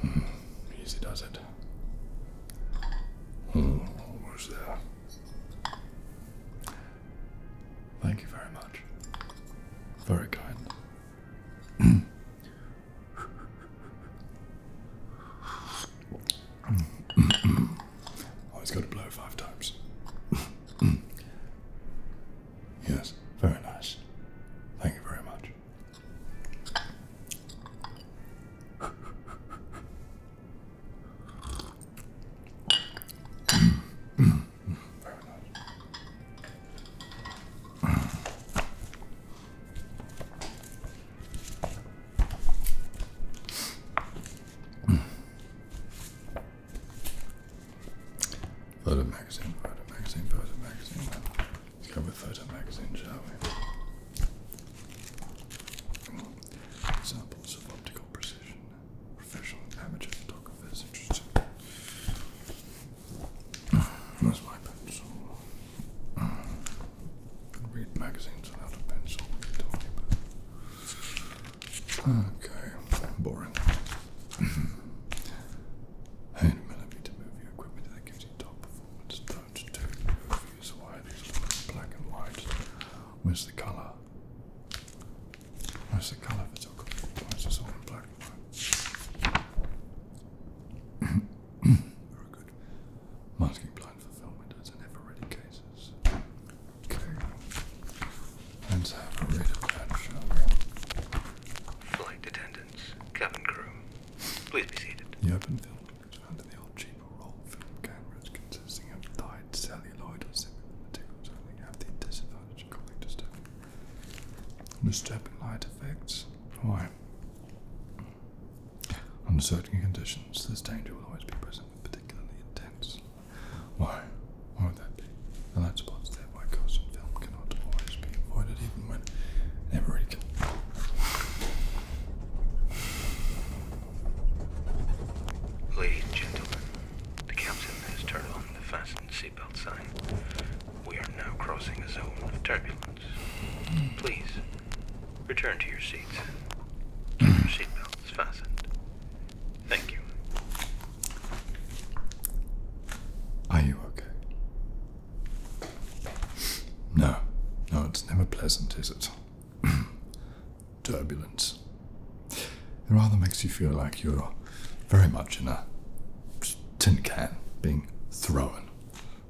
Hmm, easy does it. where's hmm. that? Thank you very much. Very kind. Always hmm. oh, got to blow five times. Yes, very nice. Thank you very much. Photo magazine, photo magazine, photo magazine. Let's go with photo magazine, shall we? Examples of optical precision. Professional images. Talk amateur photographers interested. Where's my pencil? Could read magazines without a pencil. What are Okay, boring and millimeter movie equipment that gives you top performance. Don't do movies. Why these black and white? Where's the color? Where's the color photography? Why is this all in black and white? Very good. Masking blind fulfillment as in ever ready cases. Okay. Let's of that, shall Flight attendants, cabin crew, please be seated. The open film found in the old cheaper roll film cameras consisting of dyed celluloid or similar materials only have the disadvantage of causing disturbing. Disturbing light effects? Why? Under certain conditions, this danger will always be present particularly intense. Why? or that the light spots that white cast on film cannot always be avoided even when never can. Ladies and gentlemen, the captain has turned on the fasten seatbelt sign. We are now crossing a zone of turbulence. Please, return to your seats. Keep your seatbelts fastened. Thank you. Are you okay? No, no, it's never pleasant, is it? Turbulence. It rather makes you feel like you're very much in a tin can being thrown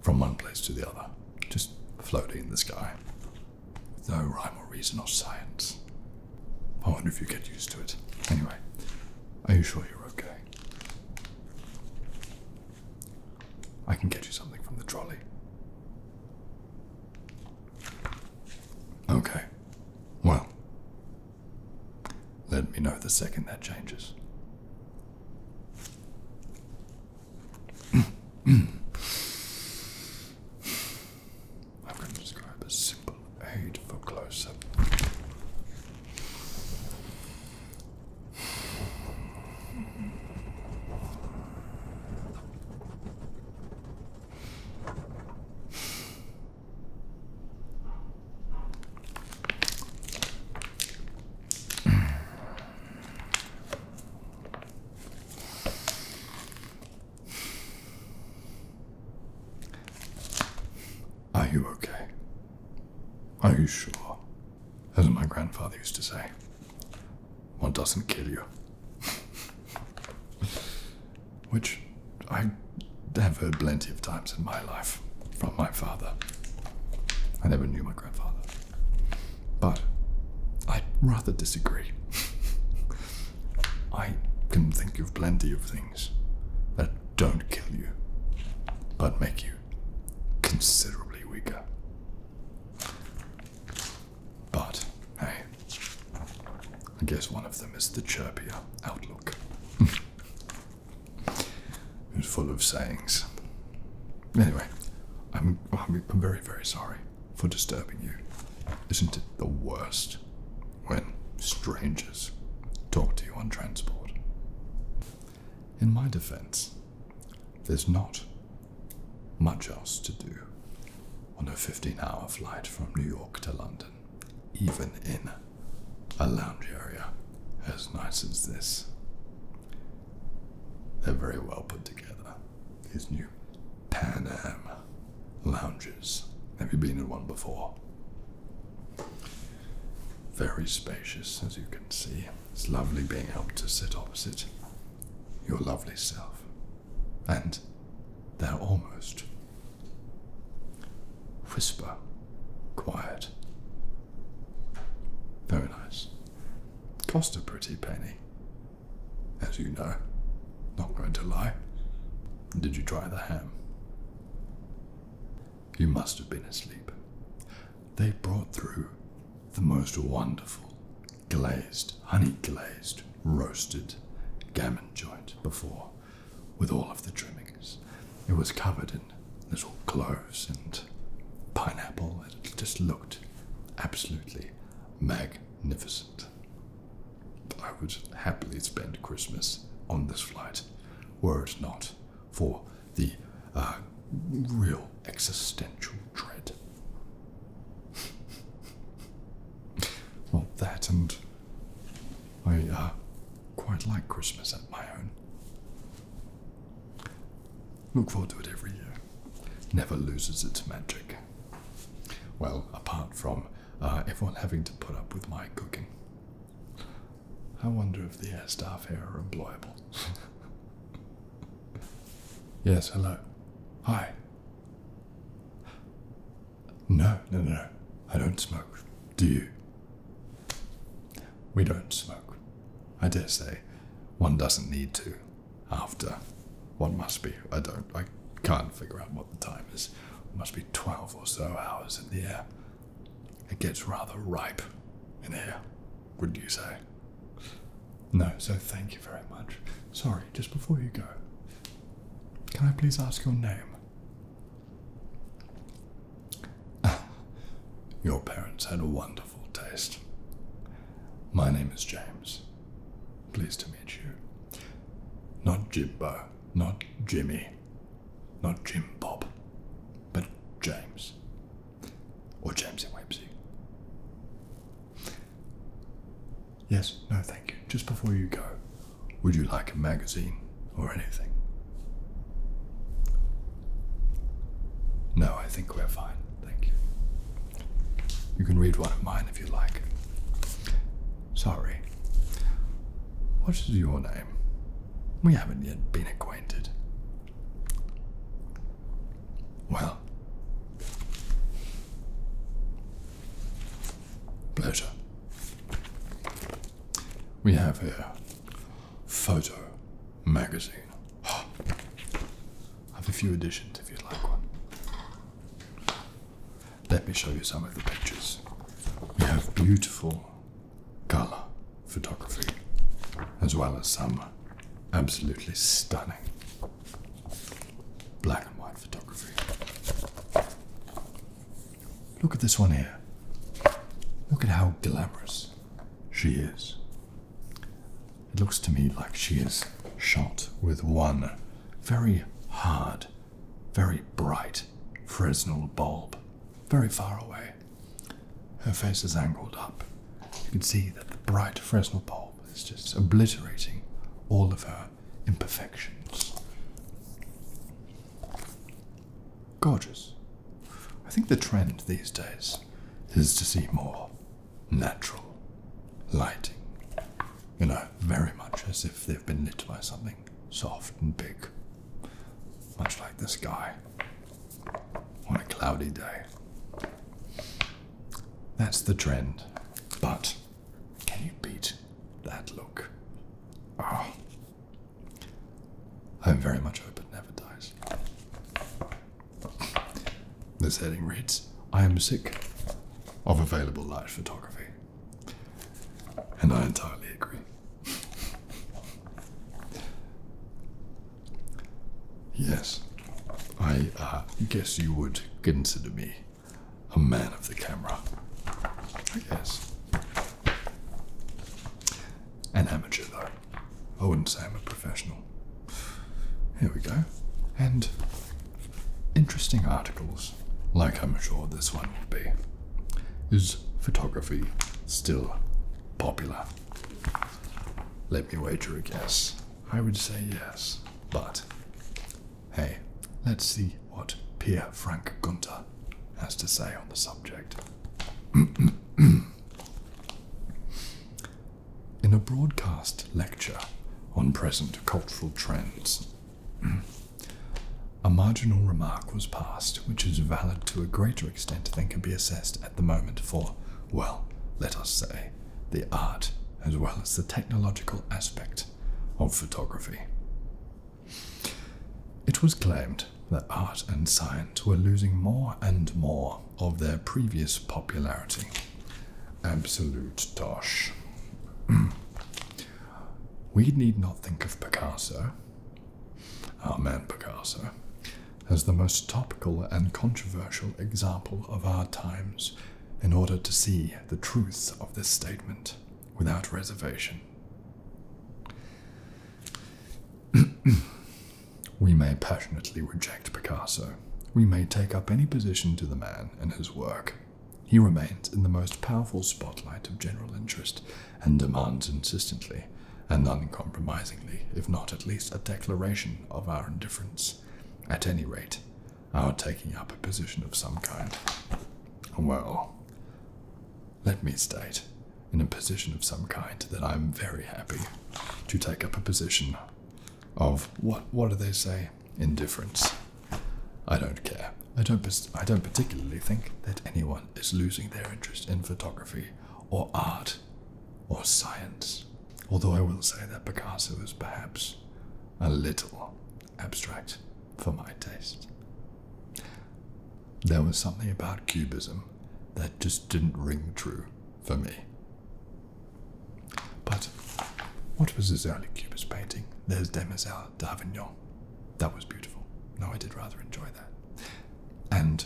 from one place to the other, just floating in the sky, no rhyme or reason or science. I wonder if you get used to it. Anyway, are you sure you're okay? I can get you something from the trolley. Okay. Well, let me know the second that changes. I can describe a simple aid for close-up. Are you okay? Are you sure? As my grandfather used to say, one doesn't kill you. Which I have heard plenty of times in my life from my father. I never knew my grandfather. But I would rather disagree. I can think of plenty of things that don't kill you, but make you considerably weaker. But hey, I guess one of them is the chirpier outlook. it's full of sayings. Anyway, I'm, I'm very, very sorry for disturbing you. Isn't it the worst? when strangers talk to you on transport. In my defense, there's not much else to do on a 15 hour flight from New York to London, even in a lounge area as nice as this. They're very well put together. These new Pan Am lounges. Have you been in one before? Very spacious, as you can see. It's lovely being able to sit opposite your lovely self. And they're almost whisper, quiet. Very nice. Cost a pretty penny, as you know. Not going to lie. Did you try the ham? You must have been asleep. They brought through the most wonderful glazed, honey glazed, roasted gammon joint before with all of the trimmings. It was covered in little cloves and pineapple, and it just looked absolutely magnificent. I would happily spend Christmas on this flight, were it not for the uh, real existential dread. well, that and I uh, quite like Christmas at my own. Look forward to it every year. Never loses its magic. Well, apart from uh, everyone having to put up with my cooking. I wonder if the air staff here are employable. yes, hello. Hi. No, no, no, I don't smoke. Do you? We don't smoke. I dare say one doesn't need to after one must be. I don't, I can't figure out what the time is must be 12 or so hours in the air. It gets rather ripe in here, wouldn't you say? No, so thank you very much. Sorry, just before you go, can I please ask your name? your parents had a wonderful taste. My name is James. Pleased to meet you. Not Jibbo. Not Jimmy, not Jim Bob, but James. Or Jamesy Wamsey. Yes, no, thank you. Just before you go, would you like a magazine or anything? No, I think we're fine. Thank you. You can read one of mine if you like. Sorry. What is your name? We haven't yet been acquainted. Well, pleasure. We have here Photo Magazine. I have a few editions if you'd like one. Let me show you some of the pictures. We have beautiful color photography as well as some absolutely stunning black and white photography. Look at this one here. Look at how glamorous she is. It looks to me like she is shot with one very hard very bright Fresnel bulb, very far away. Her face is angled up. You can see that the bright Fresnel bulb is just obliterating all of her imperfections. Gorgeous. I think the trend these days is to see more natural lighting you know, very much as if they've been knit by something soft and big. Much like this guy on a cloudy day. That's the trend. But can you beat that look? Oh. Ah. I very much open. never dies. This heading reads I am sick of available light photography. And I entirely agree. yes, I uh, guess you would consider me a man of the camera. Yes. An amateur, though. I wouldn't say I'm a professional. Here we go. And Interesting articles, like I'm sure this one will be. Is photography still popular? Let me wager a guess. I would say yes, but hey, let's see what Pierre Frank Gunter has to say on the subject. In a broadcast lecture on present cultural trends a marginal remark was passed, which is valid to a greater extent than can be assessed at the moment for, well, let us say, the art as well as the technological aspect of photography. It was claimed that art and science were losing more and more of their previous popularity. Absolute tosh. We need not think of Picasso, our man Picasso, as the most topical and controversial example of our times in order to see the truth of this statement without reservation. we may passionately reject Picasso. We may take up any position to the man and his work, he remains in the most powerful spotlight of general interest and demands insistently and uncompromisingly, if not at least a declaration of our indifference, at any rate, our taking up a position of some kind. Well, let me state, in a position of some kind, that I'm very happy to take up a position of what what do they say? Indifference. I don't care. I don't, I don't particularly think that anyone is losing their interest in photography or art or science. Although I will say that Picasso was perhaps a little abstract for my taste. There was something about cubism that just didn't ring true for me. But what was this early Cubist painting? There's Demoiselle d'Avignon. That was beautiful. No, I did rather enjoy that. And,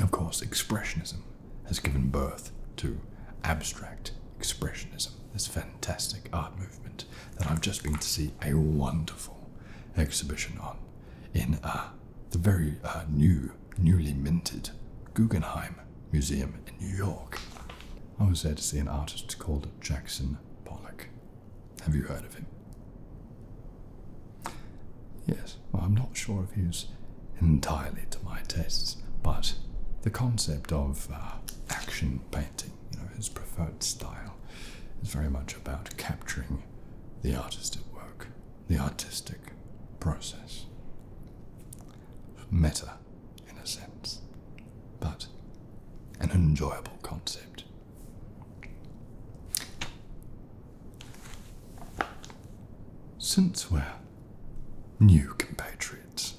of course, Expressionism has given birth to abstract expressionism, this fantastic art movement that I've just been to see a wonderful exhibition on in uh, the very uh, new, newly minted Guggenheim Museum in New York. I was there to see an artist called Jackson Pollock. Have you heard of him? Yes, well, I'm not sure if he's entirely to my tastes, but the concept of uh, action painting, you know, his preferred style, is very much about capturing the artist at work, the artistic process. Meta in a sense, but an enjoyable concept. Since we're new compatriots,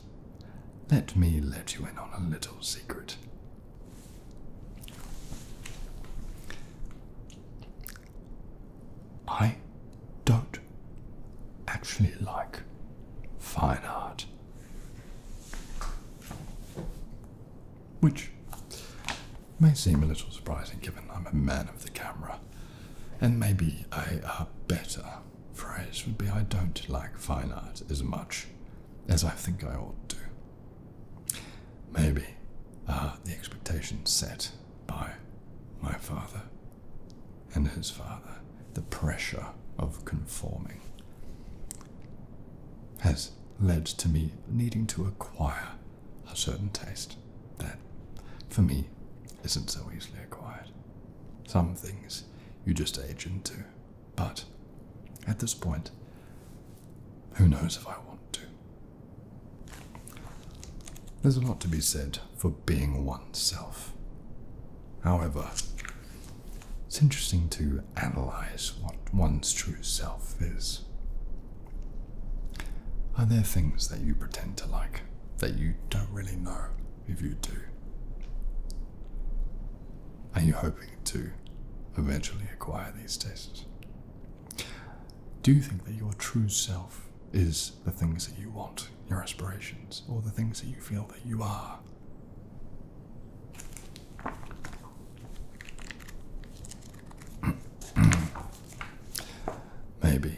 let me let you in on a little secret. I don't actually like fine art which may seem a little surprising given I'm a man of the camera. And maybe a, better phrase would be I don't like fine art as much as I think I ought to. Maybe uh, the expectations set by my father and his father, the pressure of conforming, has led to me needing to acquire a certain taste that, for me, isn't so easily acquired. Some things you just age into, but at this point, who knows if I want to? There's a lot to be said for being oneself. However, it's interesting to analyze what one's true self is. Are there things that you pretend to like that you don't really know if you do? Are you hoping to eventually acquire these tastes? Do you think that your true self is the things that you want, your aspirations, or the things that you feel that you are? Maybe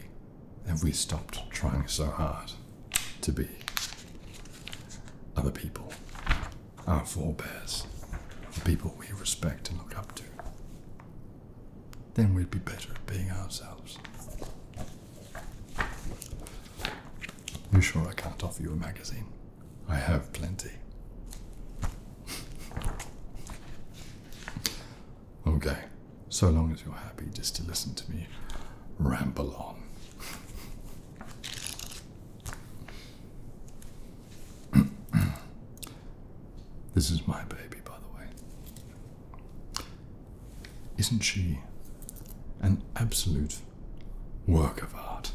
if we stopped trying so hard to be other people, our forebears, the people we respect and look up to, then we'd be better at being ourselves. You sure I can't offer you a magazine? I have plenty. okay, so long as you're happy just to listen to me ramble on. this is my baby, by the way. Isn't she an absolute work of art?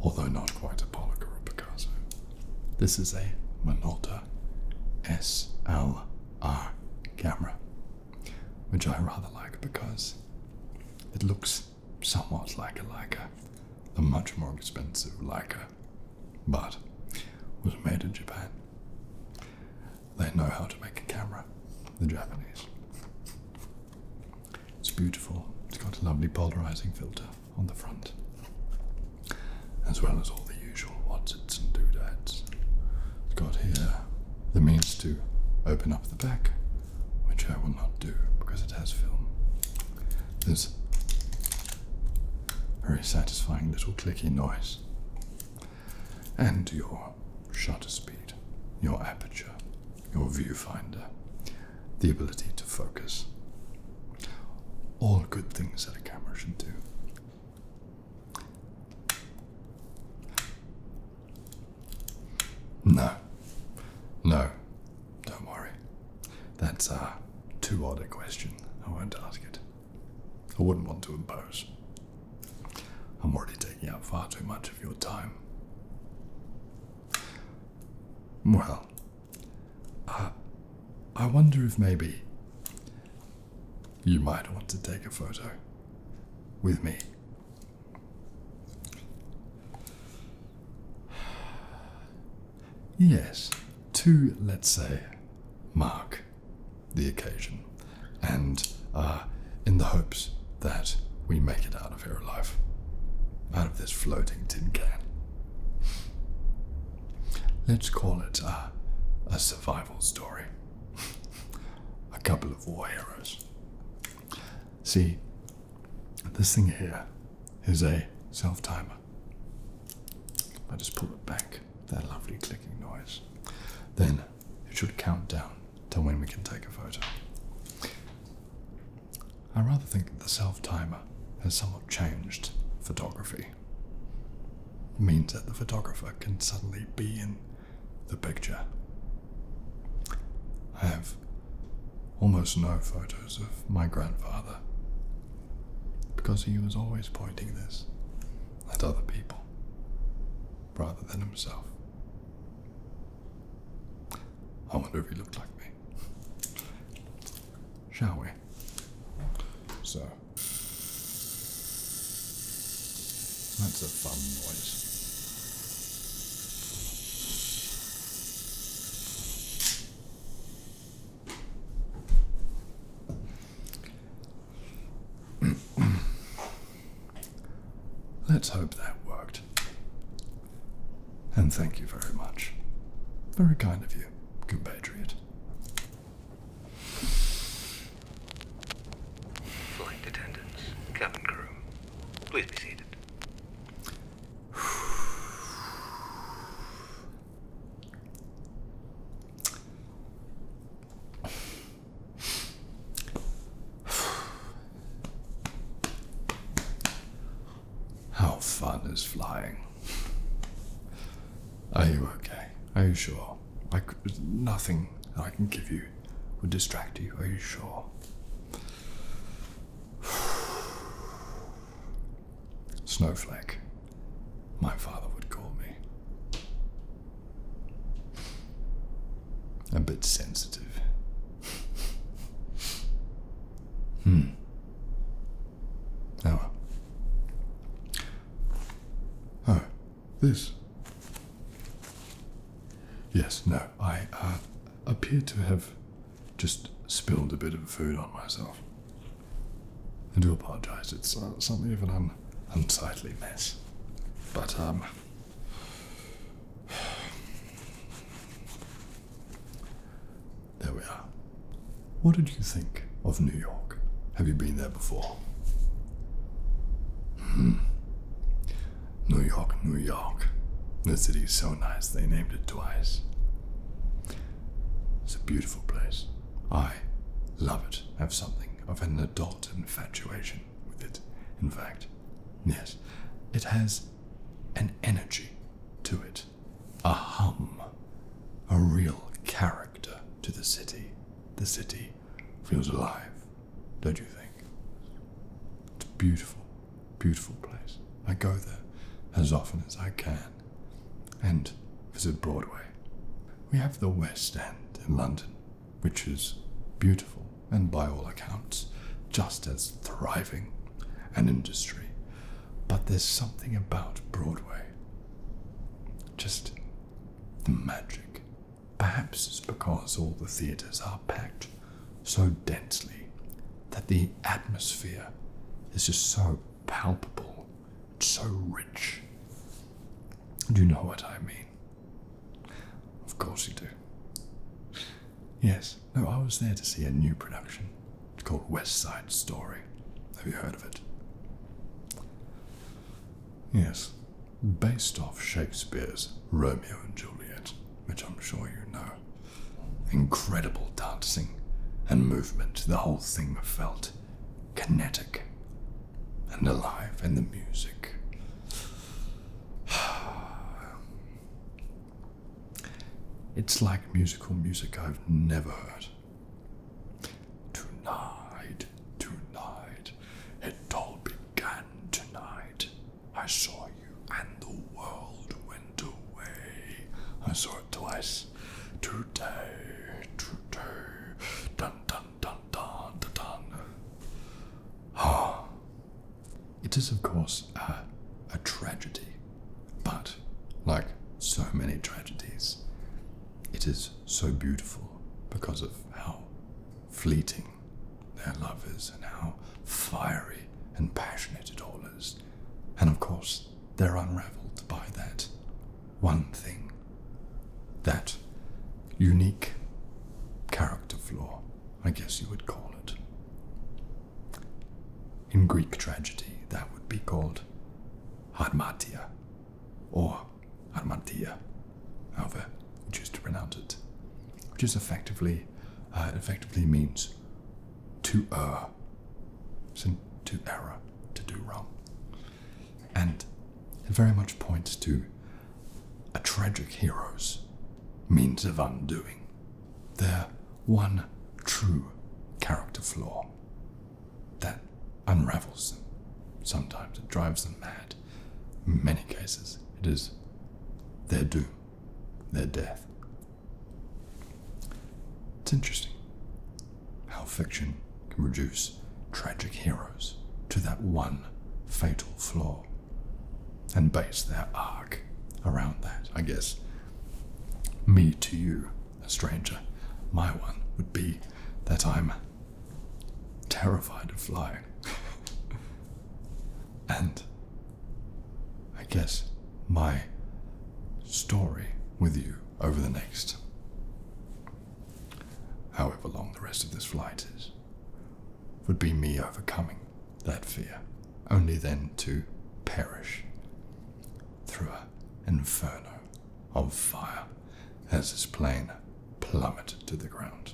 Although not quite a Pollock or Picasso. This is a Minolta SLR camera, which I rather like because it looks somewhat like a Leica, a much more expensive Leica, but was made in Japan. They know how to make a camera, the Japanese. It's beautiful. It's got a lovely polarizing filter on the front, as well as all the usual wadsits and doodads. It's got here the means to open up the back, which I will not do because it has film. There's very satisfying little clicky noise. And your shutter speed, your aperture, your viewfinder, the ability to focus. All good things that a camera should do. No, no, don't worry. That's a uh, too odd a question. I won't ask it. I wouldn't want to impose. I'm already taking up far too much of your time. Well, I wonder if maybe you might want to take a photo with me. Yes, to, let's say, Mark the occasion and uh, in the hopes that we make it out of here alive, out of this floating tin can. Let's call it a survival story. a couple of war heroes. See, this thing here is a self timer. I just pull it back, that lovely clicking noise. Then it should count down to when we can take a photo. I rather think that the self timer has somewhat changed photography. It means that the photographer can suddenly be in the picture. I have almost no photos of my grandfather because he was always pointing this at other people rather than himself. I wonder if he looked like me. Shall we? So, that's a fun noise. Let's hope that worked. And thank you very much. Very kind of you, compatriot. Flight attendants, cabin crew, please be seated. How fun is flying? Are you okay? Are you sure? I could, nothing I can give you would distract you. Are you sure? Snowflake, my father would call me. A bit sensitive. hmm. Oh. Oh, this. Yes, no, I uh, appear to have just spilled a bit of food on myself. I do apologize. It's uh, something of an an unsightly mess. But, um. There we are. What did you think of New York? Have you been there before? Hmm. New York, New York. The city is so nice, they named it twice. It's a beautiful place. I love it. Have something of an adult infatuation with it. In fact, yes, it has an energy to it, a hum, a real character to the city. The city feels alive, don't you think? It's a beautiful, beautiful place. I go there as often as I can and visit Broadway. We have the West End in London which is beautiful and by all accounts just as thriving an industry. But there's something about Broadway. Just the magic. Perhaps it's because all the theatres are packed so densely that the atmosphere is just so palpable so rich. Do You know what I mean. Of course you do. Yes, no, I was there to see a new production. It's called West Side Story. Have you heard of it? Yes, based off Shakespeare's Romeo and Juliet, which I'm sure you know. Incredible dancing and movement, the whole thing felt kinetic and alive, and the music. It's like musical music I've never heard. Tonight, tonight, it all began tonight. I saw you, and the world went away. I saw it twice. Today, today, dun dun Ah. It is, of course, a, a tragedy, but like so many tragedies, it is so beautiful because of how fleeting their love is and how fiery and passionate it all is. And of course, they're unraveled by that one thing that unique character flaw, I guess you would call it. In Greek tragedy, that would be called harmatia or harmatia, however you choose to pronounce it, which is effectively uh, effectively means to err, to error, to do wrong. And it very much points to a tragic hero's means of undoing their one true character flaw that unravels them. Sometimes it drives them mad. In many cases, it is their doom, their death. It's interesting how fiction can reduce tragic heroes to that one fatal flaw and base their arc around that. I guess me to you, a stranger, my one would be that I'm terrified of flying. and I guess my story with you over the next however long the rest of this flight is, would be me overcoming that fear, only then to perish through an inferno of fire as this plane plummeted to the ground.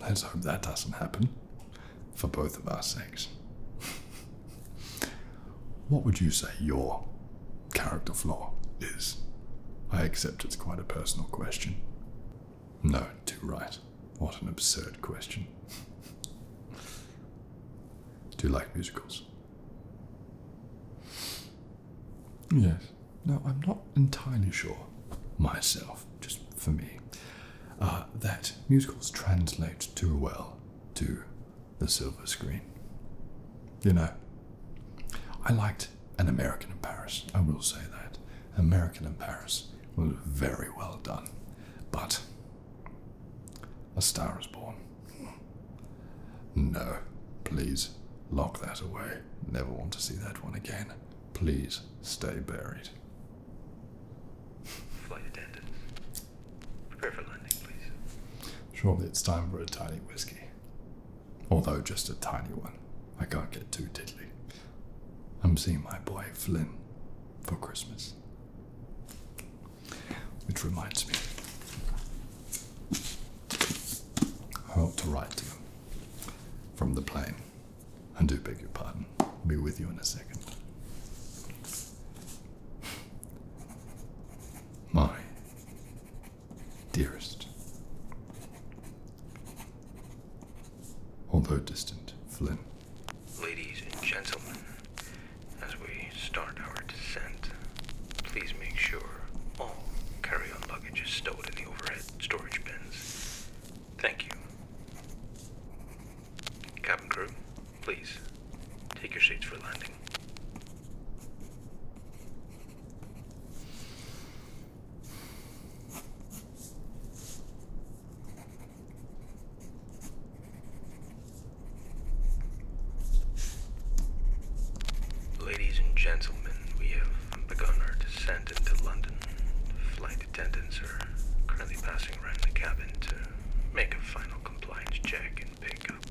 Let's hope that doesn't happen for both of our sakes. what would you say your character flaw is? I accept it's quite a personal question. No, too right. What an absurd question. Do you like musicals? Yes. No, I'm not entirely sure myself, just for me. Uh, that musicals translate too well to the silver screen. You know, I liked An American in Paris, I will say that. American in Paris was very well done, but A Star is Born. No, please lock that away. Never want to see that one again. Please stay buried. Flight attendant, Prepare landing, please. Surely it's time for a tiny whisky. Although just a tiny one. I can't get too tiddly. I'm seeing my boy Flynn for Christmas. Which reminds me, I ought to write to him from the plane. And do beg your pardon um, be with you in a second. My dearest, although distant, Flynn. Ladies and gentlemen, as we start our descent, please make sure all carry on luggage is stowed in the overhead storage bins. Thank you. Cabin crew, Please, take your seats for landing. Ladies and gentlemen, we have begun our descent into London. Flight flight attendants are currently passing around the cabin to make a final compliance check and pick up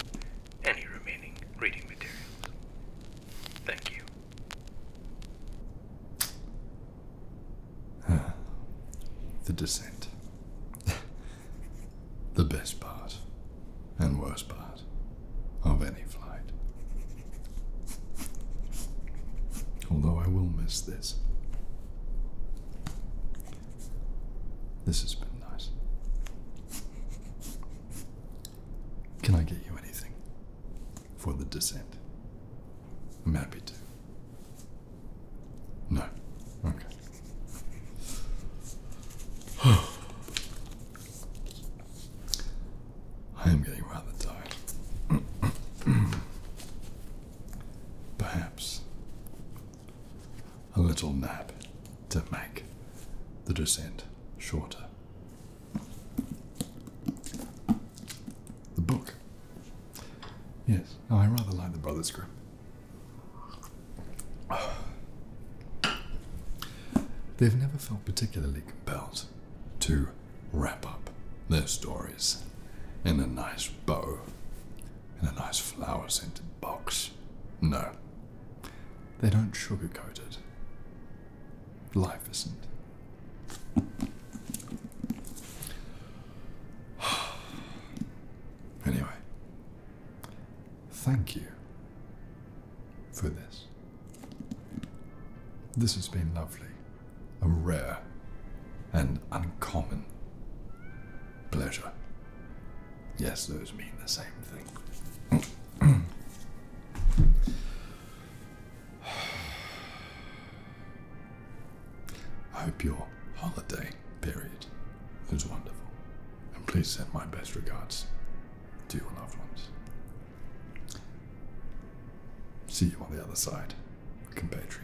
any remaining reading materials. Thank you. the descent. the best part and worst part of any flight. Although I will miss this. This has been nice. Can I get you anything for the descent? I'm happy to. No. Okay. I am getting rather tired. Perhaps a little nap to make the descent shorter. The book. Yes, I rather like the Brothers Grimm. They've never felt particularly compelled to wrap up their story in a nice bow, in a nice flower scented box. No, they don't sugarcoat it. Life isn't. anyway, thank you for this. This has been lovely a rare and uncommon pleasure. Yes, those mean the same thing. I hope your holiday period was wonderful. And please send my best regards to your loved ones. See you on the other side, compatriot.